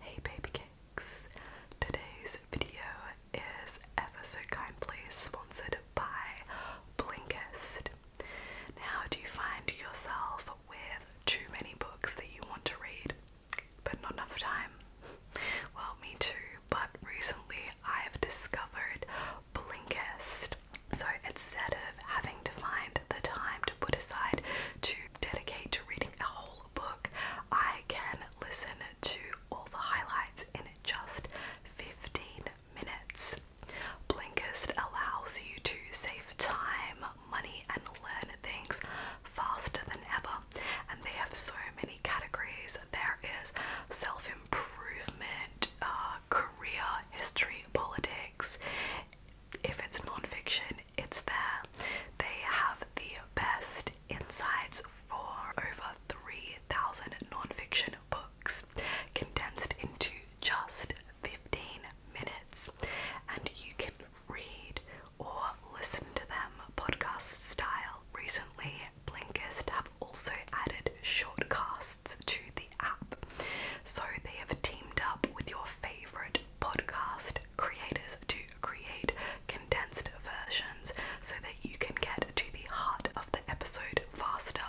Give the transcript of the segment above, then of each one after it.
Hey baby cakes! Today's video is ever so kindly sponsored by Blinkist. Now, do you find yourself with too many books that you want to read, but not enough time? Well, me too, but recently I've discovered Blinkist. So instead of having to find the time to put aside to dedicate to reading a whole book. I can listen to all the highlights in just 15 minutes. Blinkist allows you to save time, money, and learn things faster than ever. And they have so many categories. There is self improvement, uh, career, history, politics, if it's nonfiction, it's there. They have the best insights for over 3,000 nonfiction books condensed into just 15 minutes, and you can read or listen to them podcast style. Recently, Blinkist have also added shortcasts to the app, so they have teamed up with your favorite podcast creators to create condensed versions so that you can get to the heart of the episode faster.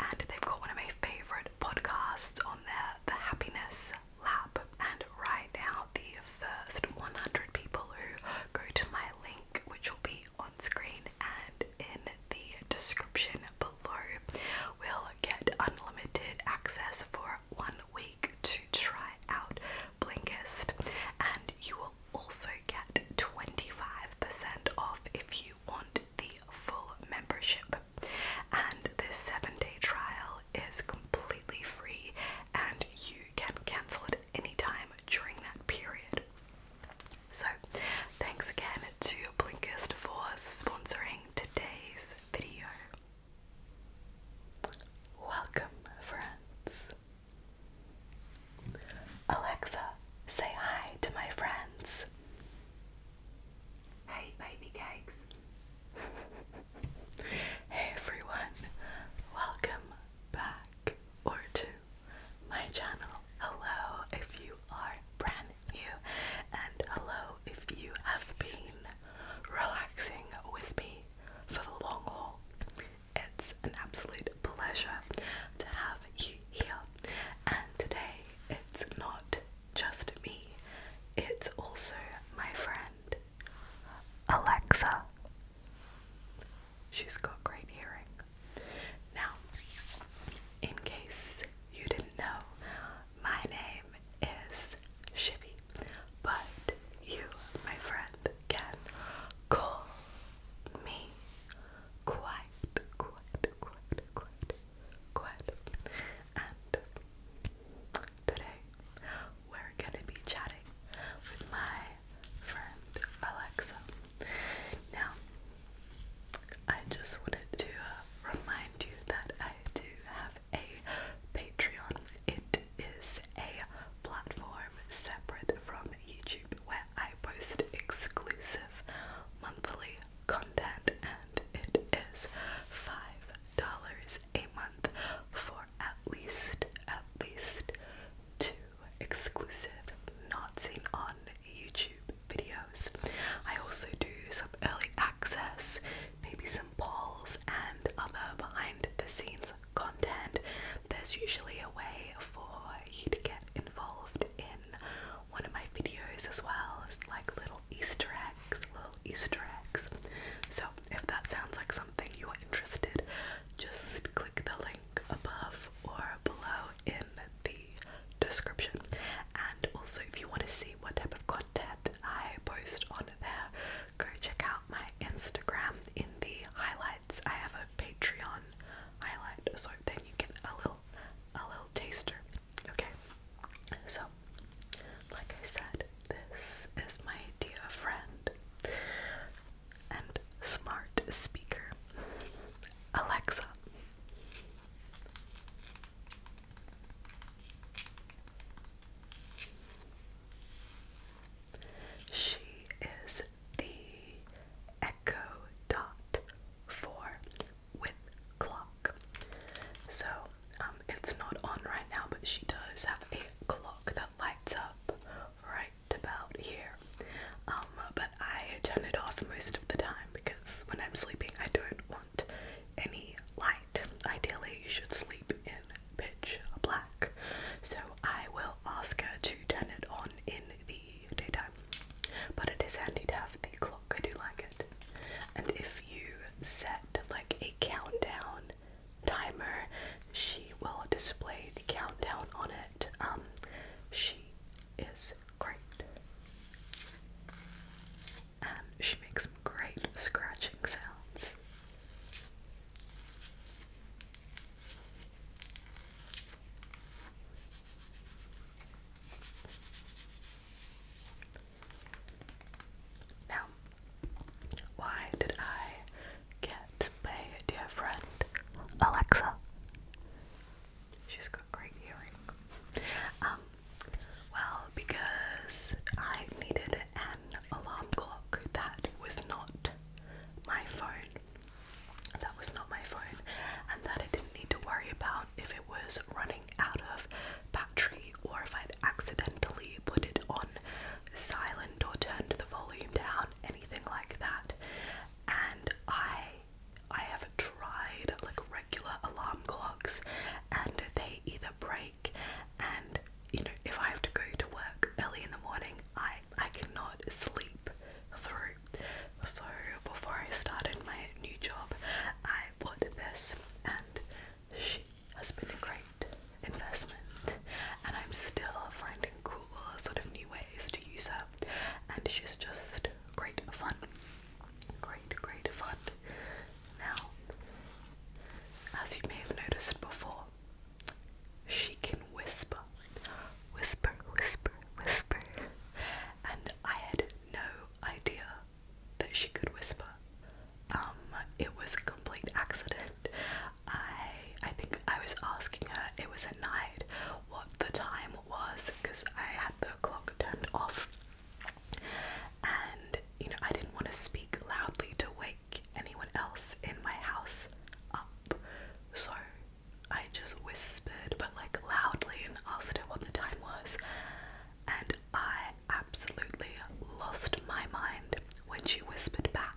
And they've got one of my favorite podcasts on there, The Happiness Lab. And right now, the first 100 people who go to my link, which will be on screen and in the description below, will get unlimited access for one week to try out Blinkist, and you will also get 25% off if you want the full membership. And this seven day trial is completely free, and you can cancel it any time during that period. So, thanks again to Blinkist for sponsoring today's video. Welcome, friends. Alexa, say hi to my friends. Hey, baby cakes. hey, everyone. Welcome back or to my channel. Hello, if you are brand new, and hello, if you have been relaxing with me for the long haul. It's an absolute pleasure to have you here, and today it's not just me, it's also my friend Alexa. She's got great hearing. Now, in case you didn't know, my name is Shivy. But you, my friend, can call me quite, quite, quite, quite, And today we're gonna be chatting with my friend Alexa. Now, I just wanted to uh, remind you that I do have a Patreon. It is a platform separate from YouTube where I post exclusive monthly content and it is five dollars a month for at least at least two exclusive not seen on YouTube videos. I also do some early access maybe some polls and other behind the scenes content, there's usually a way for you to get involved in one of my videos as well. like little Easter eggs, little Easter eggs. So if that sounds like something you are interested, just click the link above or below in the description. And also if you want to see what type of content I post on there, go check out my Instagram. In the highlights, I have a Patreon highlight, so then you get a little, a little taster. Okay, so like I said, this is my dear friend and smart speaker, Alexa. She is the echo dot four with clock. So um, it's not on right now, but she does have a clock that lights up right about here. Um, but I turn it off most of the time because when I'm sleeping, I don't want any light. Ideally, you should sleep in pitch black. So I will ask her to turn it on in the daytime. But it is handy to have the clock, I do like it. And if you set like a countdown timer, she will display the countdown on it. Um, she is great and she makes great scratching sounds. Now, why did I get my dear friend Alexa? She's got great hearing. Um, well, because I needed an alarm clock that was not my phone. That was not my phone, and that I didn't need to worry about if it was running out of battery or if I'd accidentally put it on silent or turned the volume down, anything like that. And I I have tried like regular alarm clocks and they either break and you know if I have to go to work early in the morning I I cannot sleep through. So before I started my new job I bought this and she has been a great investment and I'm still finding cool sort of new ways to use her and she's just great fun. Great, great fun. Now, as you may have noticed before, she can whisper, whisper, whisper, whisper, and I had no idea that she could whisper. Um, it was a complete accident. I, I think I was asking her. It was at night. What the time was because I had the clock turned off and you know, I didn't want to speak loudly to wake anyone else in my house up, so I just whispered, but like loudly, and asked her what the time was. And I absolutely lost my mind when she whispered back.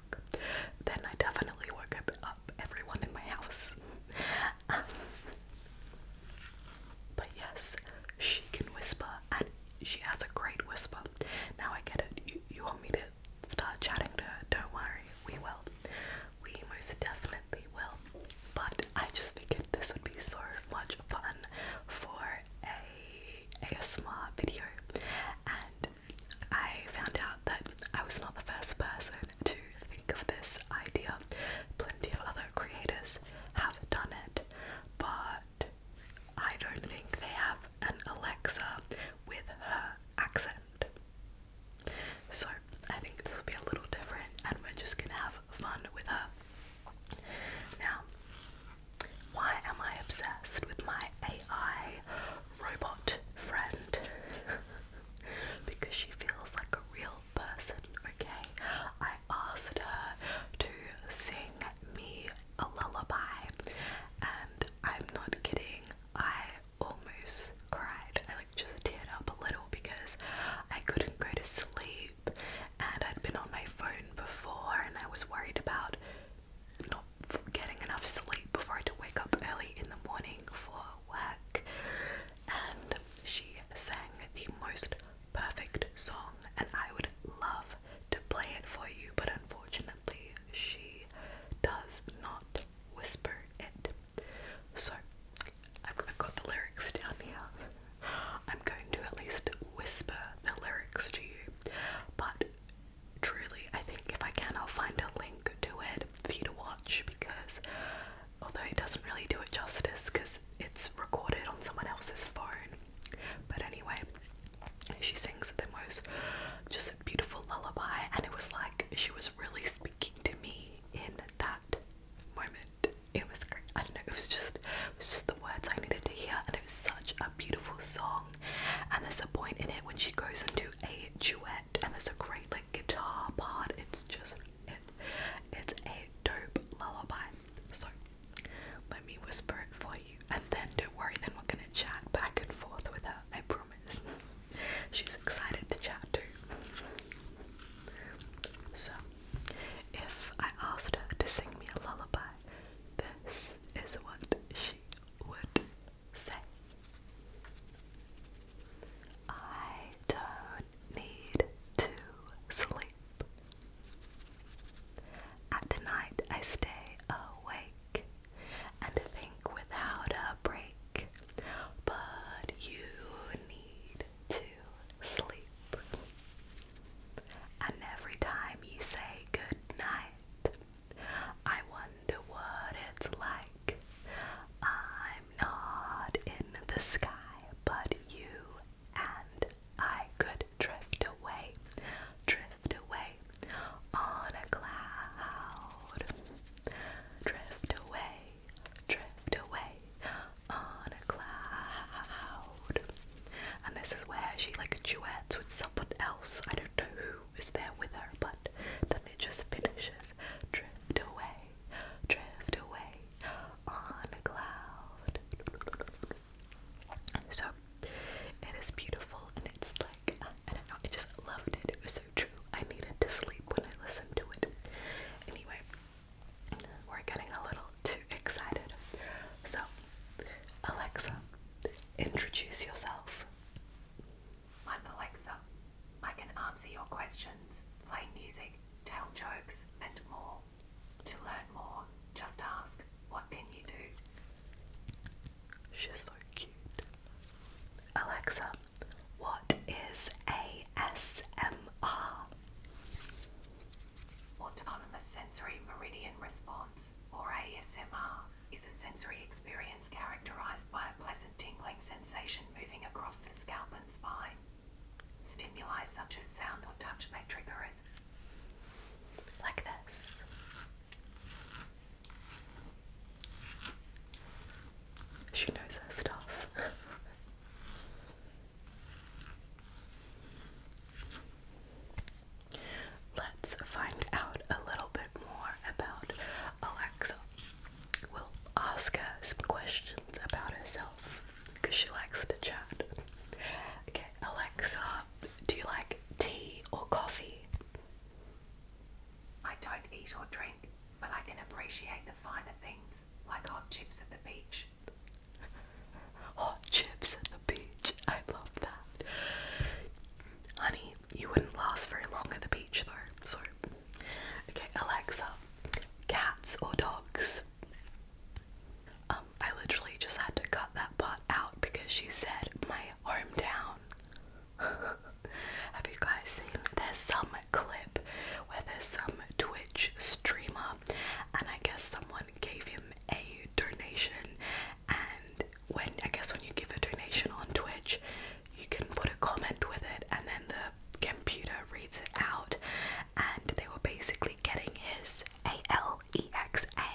Then I definitely woke up, everyone in my house. but yes, she can whisper and she has a great whisper. Now I get it. You want me to start chatting to her? Don't worry, we will. We most definitely will. But I just figured this would be so much fun for a ASMR video, and I found out that I was not the first person to think of this idea. Plenty of other creators have done it, but I don't think they have an Alexa with her accent. So I think this will be a little different and we're just gonna have fun with her. Now, why am I obsessed with my AI robot friend? because she feels like a real person, okay? I asked her to sing me a lullaby, and I'm not kidding, I almost cried. I like just teared up a little because I couldn't go to sleep, and I'd been on my phone before, and I was worried about not getting enough sleep before I had to wake up early in the morning for work. And she sang the most perfect song, and I would love to play it for you, but unfortunately, she does not whisper it. So, I've, I've got the lyrics down here. I'm going to at least whisper the lyrics to you, but truly, I think if I can, I'll find a link to it for you to watch because although it doesn't really do it justice, because it's recorded on someone else's phone. But anyway, she sings the most just a beautiful lullaby, and it was like she was really speaking to me in that moment. It was great. I don't know. It was just, it was just the words I needed to hear, and it was such a beautiful song. And there's a point in it when she goes into a duet, and there's a great like guitar part. It's just, it, it's a dope lullaby. So let me whisper it for you, and then don't worry, then we're gonna chat back and forth with her. I promise. She's excited to chat too. So, if I asked her to sing me a lullaby, this is what she would say. I don't need to sleep. At night I stay awake and think without a break, but you need to sleep. And every time you say good night, I wonder what it's like. I'm not in the sky, but you and I could drift away, drift away on a cloud. Drift away, drift away on a cloud. And this is where she like duets with someone else. I don't know who is there with her, but then it just finishes. Drift away, drift away on a cloud. So it is beautiful and it's like uh, I know, I just loved it. It was so true. I needed to sleep when I listened to it. Anyway, we're getting a little too excited. So Alexa, introduce yourself. I'm Alexa. I can answer your questions, play music, tell jokes, and more. To learn more, just ask, What can you do? She's so cute. Alexa, what is ASMR? Autonomous sensory meridian response, or ASMR, is a sensory experience characterized by a pleasant tingling sensation moving across the scalp and spine. Stimuli such as sound or touch may trigger it, like this. She knows her stuff. Let's find out a little bit more about Alexa. We'll ask her some questions about herself because she likes to chat. Okay, Alexa, do you like tea or coffee? I don't eat or drink, but I can appreciate the finer things like hot chips at the beach. Hot chips at the beach. I love that. Honey, you wouldn't last very long at the beach though. So, okay, Alexa, cats or dogs? Um, I literally just had to cut that part out because she said my hometown. Have you guys seen? There's some clip where there's some Twitch streamer, and I guess someone gave him a donation. And when I guess when you give a donation on Twitch, you can put a comment with it, and then the computer reads it out. And they were basically getting his a-L-E-X-A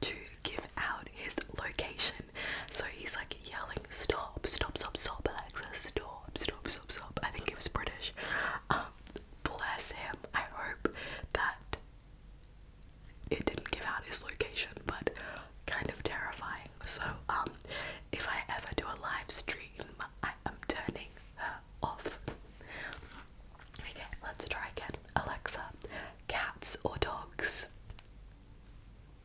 to give out his location. So he's like yelling, stop, stop, stop, stop, Alexa, stop, stop, stop, stop. I think it was British. Um, bless him. I hope that it didn't give out his location, but kind of terrifying. So um, if I ever do a live stream, I am turning off. okay, let's try again. Alexa, cats or dogs?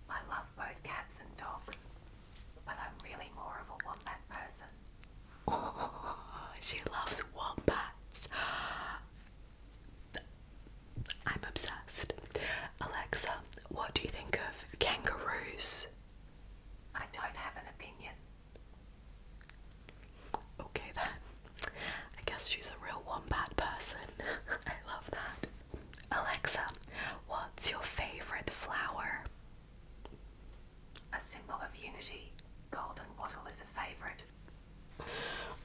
I love both cats and dogs, but I'm really more of a wombat person. she loves wombats. I'm obsessed. Alexa, what do you think of kangaroos? I don't have an opinion. Okay then. I guess she's a real one bad person. I love that. Alexa, what's your favorite flower? A symbol of unity. Golden wattle is a favorite.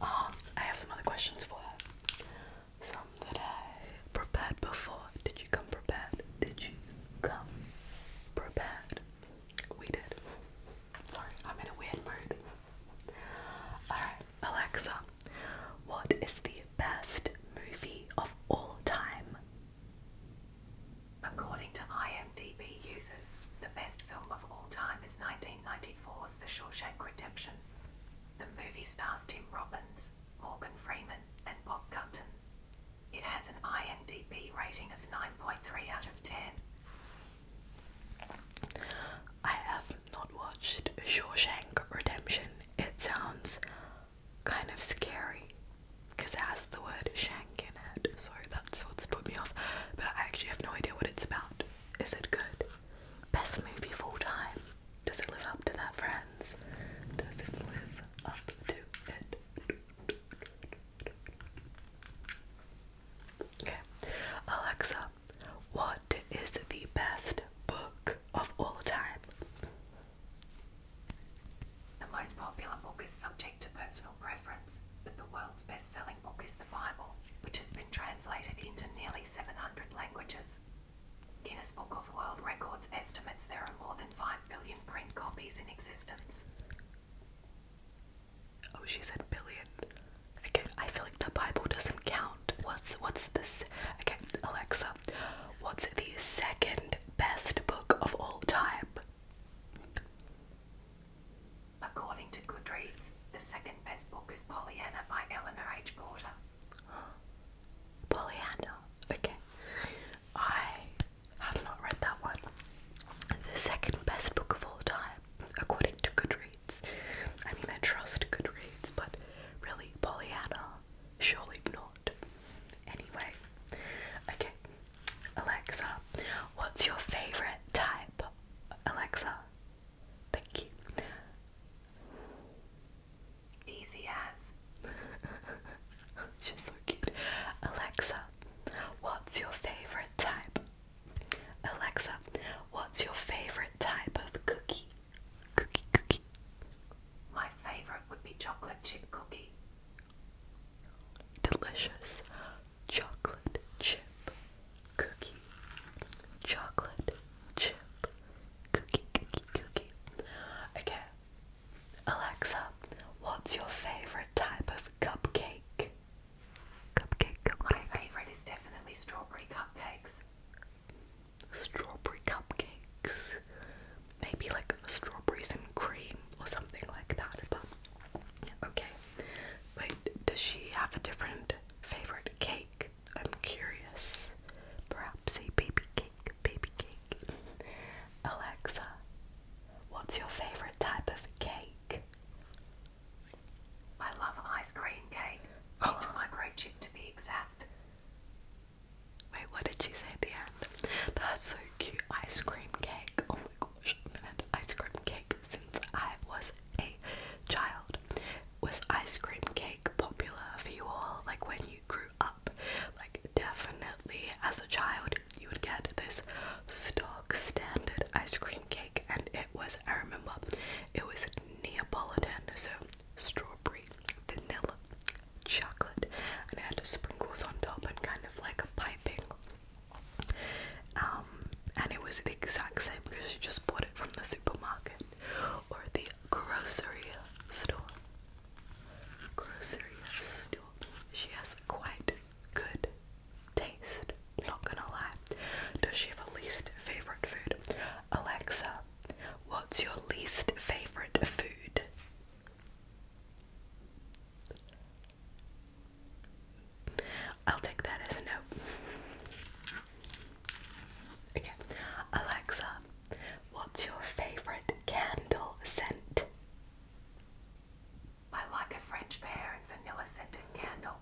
Um, I have some other questions for her. Some that I prepared before. Did you come prepared? Did you come prepared? We did. Sorry, I'm in a weird mood. Alright, Alexa, what is the best movie of all time? According to IMDb users, the best film of all time is 1994's The Shawshank Redemption. The movie stars Tim Robbins, Morgan Freeman, and Bob Gunton. It has an IMDb rating of 9.3 out of 10. I have not watched Shawshank Redemption. It sounds kind of scary because it has the word shank in it, so that's what's put me off. But I actually have no idea what it's about. Is it good? Best movie of all time. Does it live up to that, friends? Does it live up to it? Okay. Alexa, what is the best book of all time? The most popular book is subject to personal preference, but the world's best selling book is the Bible, which has been translated into nearly 700 languages. Guinness Book of World Records estimates there are more than 5 billion print copies in existence. Oh, she said billion. Okay, I feel like the Bible doesn't count. What's what's this? Okay, Alexa, what's the second best book of all time? According to Goodreads, the second best book is Pollyanna by Eleanor H. Porter. Pollyanna. Okay. I I've not read that one. The second best book of all time, according to Goodreads. I mean, I trust Goodreads, but really, Pollyanna, surely not. Anyway, okay, Alexa, what's your favorite type? Alexa, thank you. Easy as. She's so cute. Alexa, what's your favorite type? Alexa, what's your favorite type of cookie? Cookie, cookie. My favorite would be chocolate chip cookie. Delicious chocolate chip cookie. Chocolate chip cookie, cookie, cookie. Okay, Alexa, what's your favorite? type of cupcake? Cupcake, cupcake. My favorite is definitely strawberry cupcakes. Strawberry cupcakes. Maybe like strawberries and cream or something like that. But okay. Wait, does she have a different favorite cake? I'm curious. Perhaps a baby cake, baby cake. Alexa, What's your favourite type of cake? I love ice cream cake. Oh. Micro chip to be exact. Wait, what did she say at the end? That's so cute. Ice cream cake. Oh my gosh, i ice cream cake since I was a child. Was ice cream cake popular for you all? Like when you grew up? Like definitely as a child, you would get this stock standard ice cream cake, and it was, I remember, it was Neapolitan, so strawberry, vanilla, chocolate, and it had sprinkles on top and kind of like a piping. Um, and it was the exact same because you just bought it from the supermarket or the grocery store. Grocery store. She has quite good taste. Not gonna lie. Does she have a least favorite food? Alexa, what's your least favorite food? I'll take that as a note. Okay, Alexa, what's your favorite candle scent? I like a French pear and vanilla scented candle.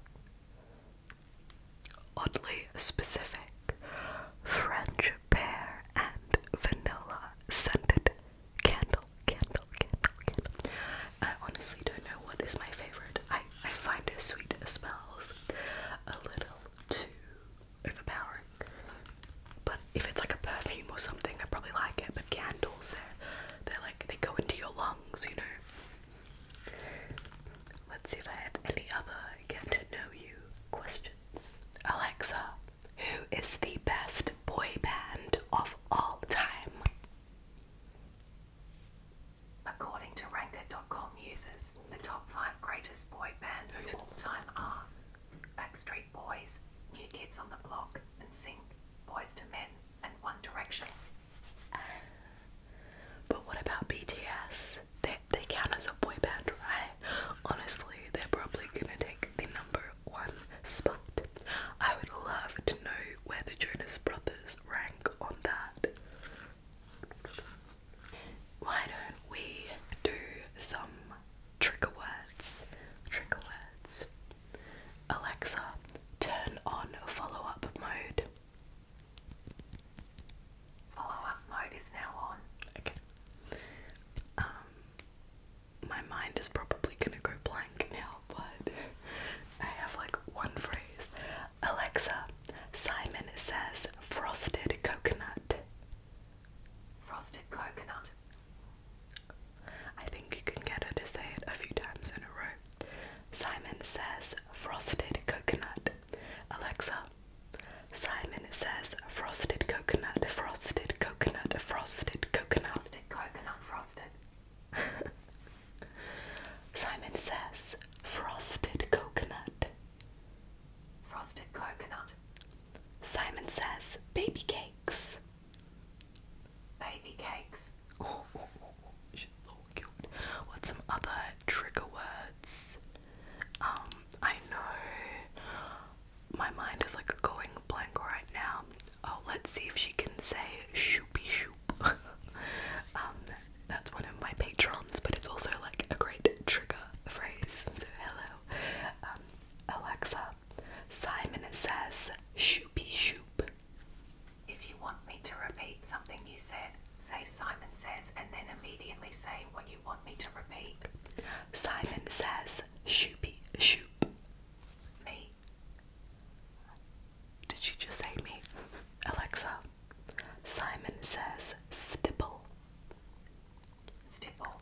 Oddly specific. French pear and vanilla scented candle, candle, candle, candle. I honestly don't know what is my favorite. I, I find her sweet smells a little too overpowering. But if it's like a perfume or something, I probably like it. But candles, are they're like they go into your lungs, you know. Let's see if I have any other get to know you questions. Alexa, who is the best boy band of all time? According to Ranker.com users, the top five greatest boy bands of all time are Backstreet Boys, New Kids on the Block, and sing Boys to Men, and One Direction. But what about BTS? They, they count as a boy band, right? Honestly, they're probably gonna take the number one spot. I would love to know where the Jonas Brothers rank on that. Why don't we do some trigger words? Trigger words. Alexa, turn on follow up mode. Follow up mode is now on. Okay. Um, my mind is probably gonna go blank now, but I have like one phrase. Alexa, Simon says frosted coconut. Frosted coconut. I think you can get her to say it a few times in a row. Simon says frosted coconut. Alexa, Simon says frosted coconut, frosted coconut, frosted coconut, frosted Simon says frosted coconut. Frosted coconut. Simon says baby cakes baby cakes. Oh, some other trigger words? Um, I know my mind is like going blank right now. Oh, let's see if she can say shoopy shoop. um, that's one of my patrons, but it's also like a great trigger phrase. So hello, um, Alexa. Simon says, Shoopy shoop. If you want me to repeat something you said, say Simon says and then immediately say what you want me to repeat. Simon says, Shoopy shoop. Me. Did you just say me? Alexa. Simon says, Stipple. Stipple.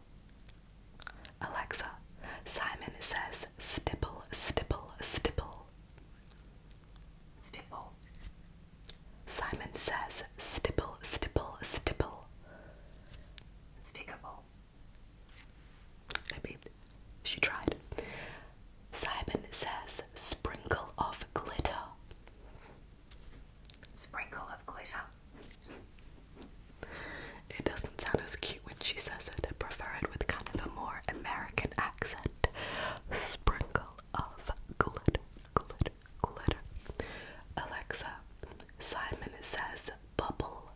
Alexa, Simon says stipple, stipple, stipple. Stipple. Simon says stipple, stipple, stipple. Stipple. I mean, she tried. Simon says sprinkle of glitter. Sprinkle of glitter. It doesn't sound as cute when she says it. I prefer it with kind of a more American accent. Sprinkle of glitter, glitter, glitter. Alexa, Simon says bubble.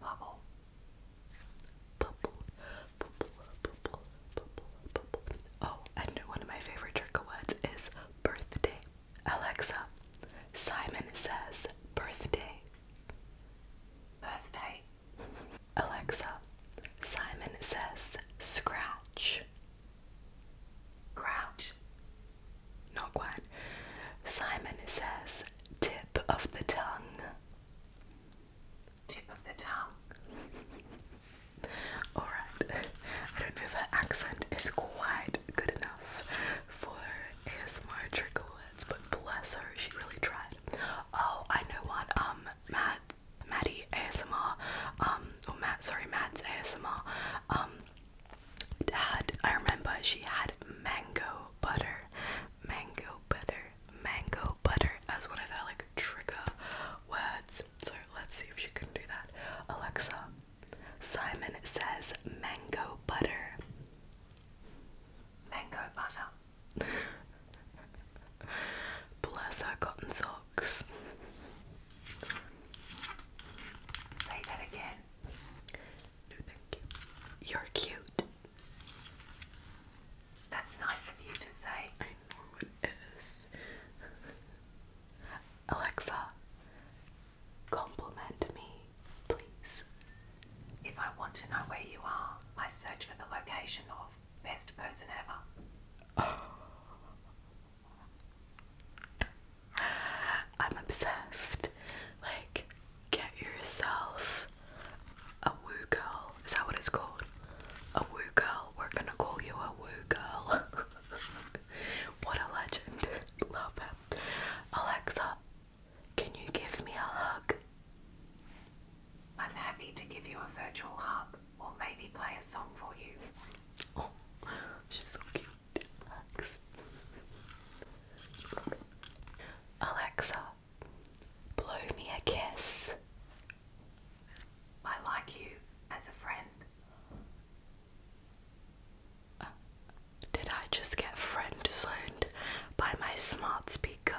Bubble. Bubble, bubble, bubble, bubble, bubble. Oh, and one of my favorite trick words is birthday. Alexa, Simon says birthday. Birthday. Alexa, Simon says scratch. Crouch. Not quite. Simon says tip of the tongue. Tip of the tongue. Alright. I don't know if her accent is quite good enough for ASMR trigger words, but bless her, she really tried. Oh, I know what. Um, Matt, Maddie ASMR, um, or Matt, sorry, Matt's ASMR. Um, had I remember she had mango butter, mango butter, mango butter as one of her like trigger words. So let's see if she can do that. Alexa, Simon says mango butter mango butter. Bless her cotton socks. Say that again. No, thank you. You're cute. That's nice of you to say. Alexa, Compliment me, please. If I want to know where you are, I search for the location of best person ever. I'm obsessed. Like, get yourself a woo girl. Is that what it's called? A woo girl. We're gonna call you a woo girl. what a legend. Love it. Alexa, can you give me a hug? I'm happy to give you a virtual hug or maybe play a song for you. Oh, she's so cute. Alexa, blow me a kiss. I like you as a friend did I just get friend zoned by my smart speaker?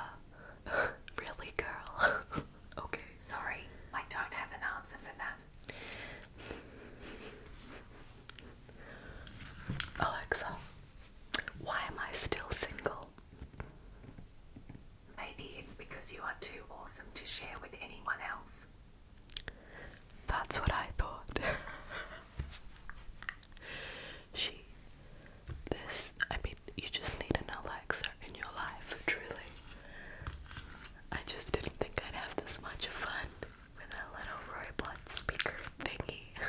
really, girl? okay. Sorry, I don't have an answer for that. Alexa, why am I still single? Maybe it's because you are too awesome to share with anyone else. That's what I thought. She, this, I mean, you just need an Alexa in your life, truly. I just didn't think I'd have this much fun with a little robot speaker thingy.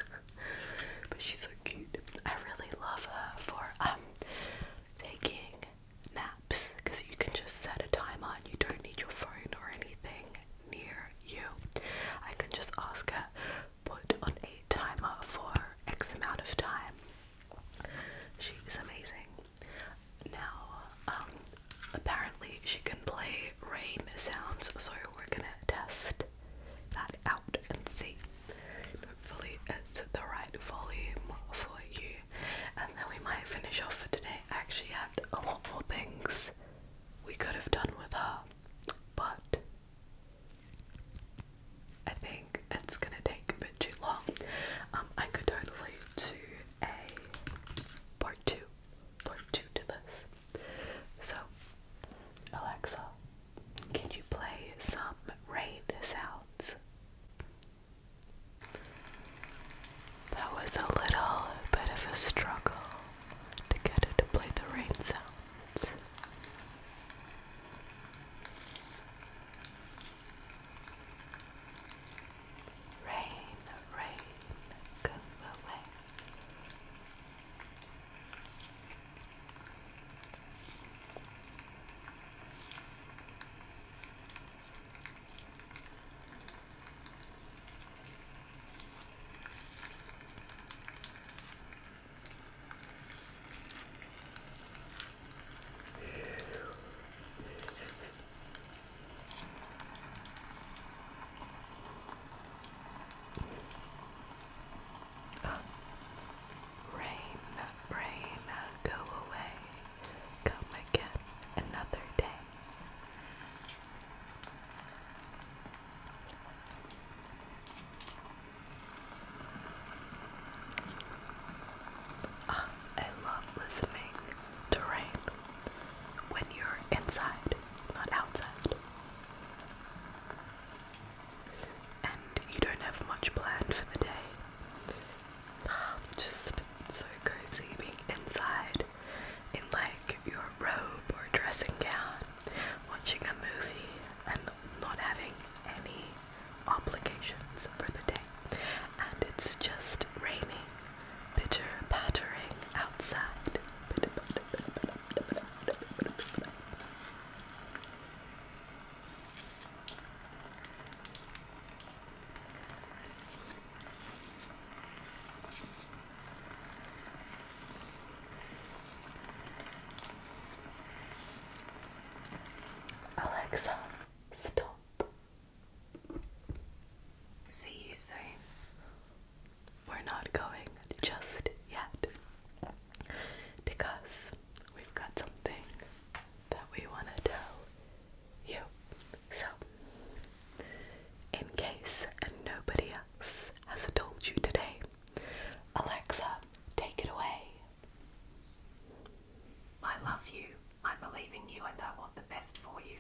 but she's so cute. I really love her for um taking naps because you can just set a timer and you don't need your phone or anything near you. I can just ask her put on a timer for X amount of time. She is amazing. Now, um, apparently she can play rain sounds, so we're gonna test that out and see. Hopefully, it's the right volume for you, and then we might finish off for today. I actually had a lot more things we could have done with her, but I think it's gonna take a bit too long. Um, I could totally do a part two, part two to this. So, Alexa, can you play some rain sounds? That was a little bit of a struggle to get her to play the rain sounds. Rain, rain, go away. Uh, rain, rain, go away, come again another day. Ah, I love listening to rain when you're inside, not outside. And you don't have much planned for the day. Ah, just so cozy being inside bed in like your robe or dressing gown, watching a movie and not having any obligations for the day. And it's just raining, bitter pattering outside. Alexa, stop. See you soon. We're not going just yet because we've got something that we want to tell you. So, in case nobody else has told you today, Alexa, take it away. I love you, I believe in you, and I want the best for you.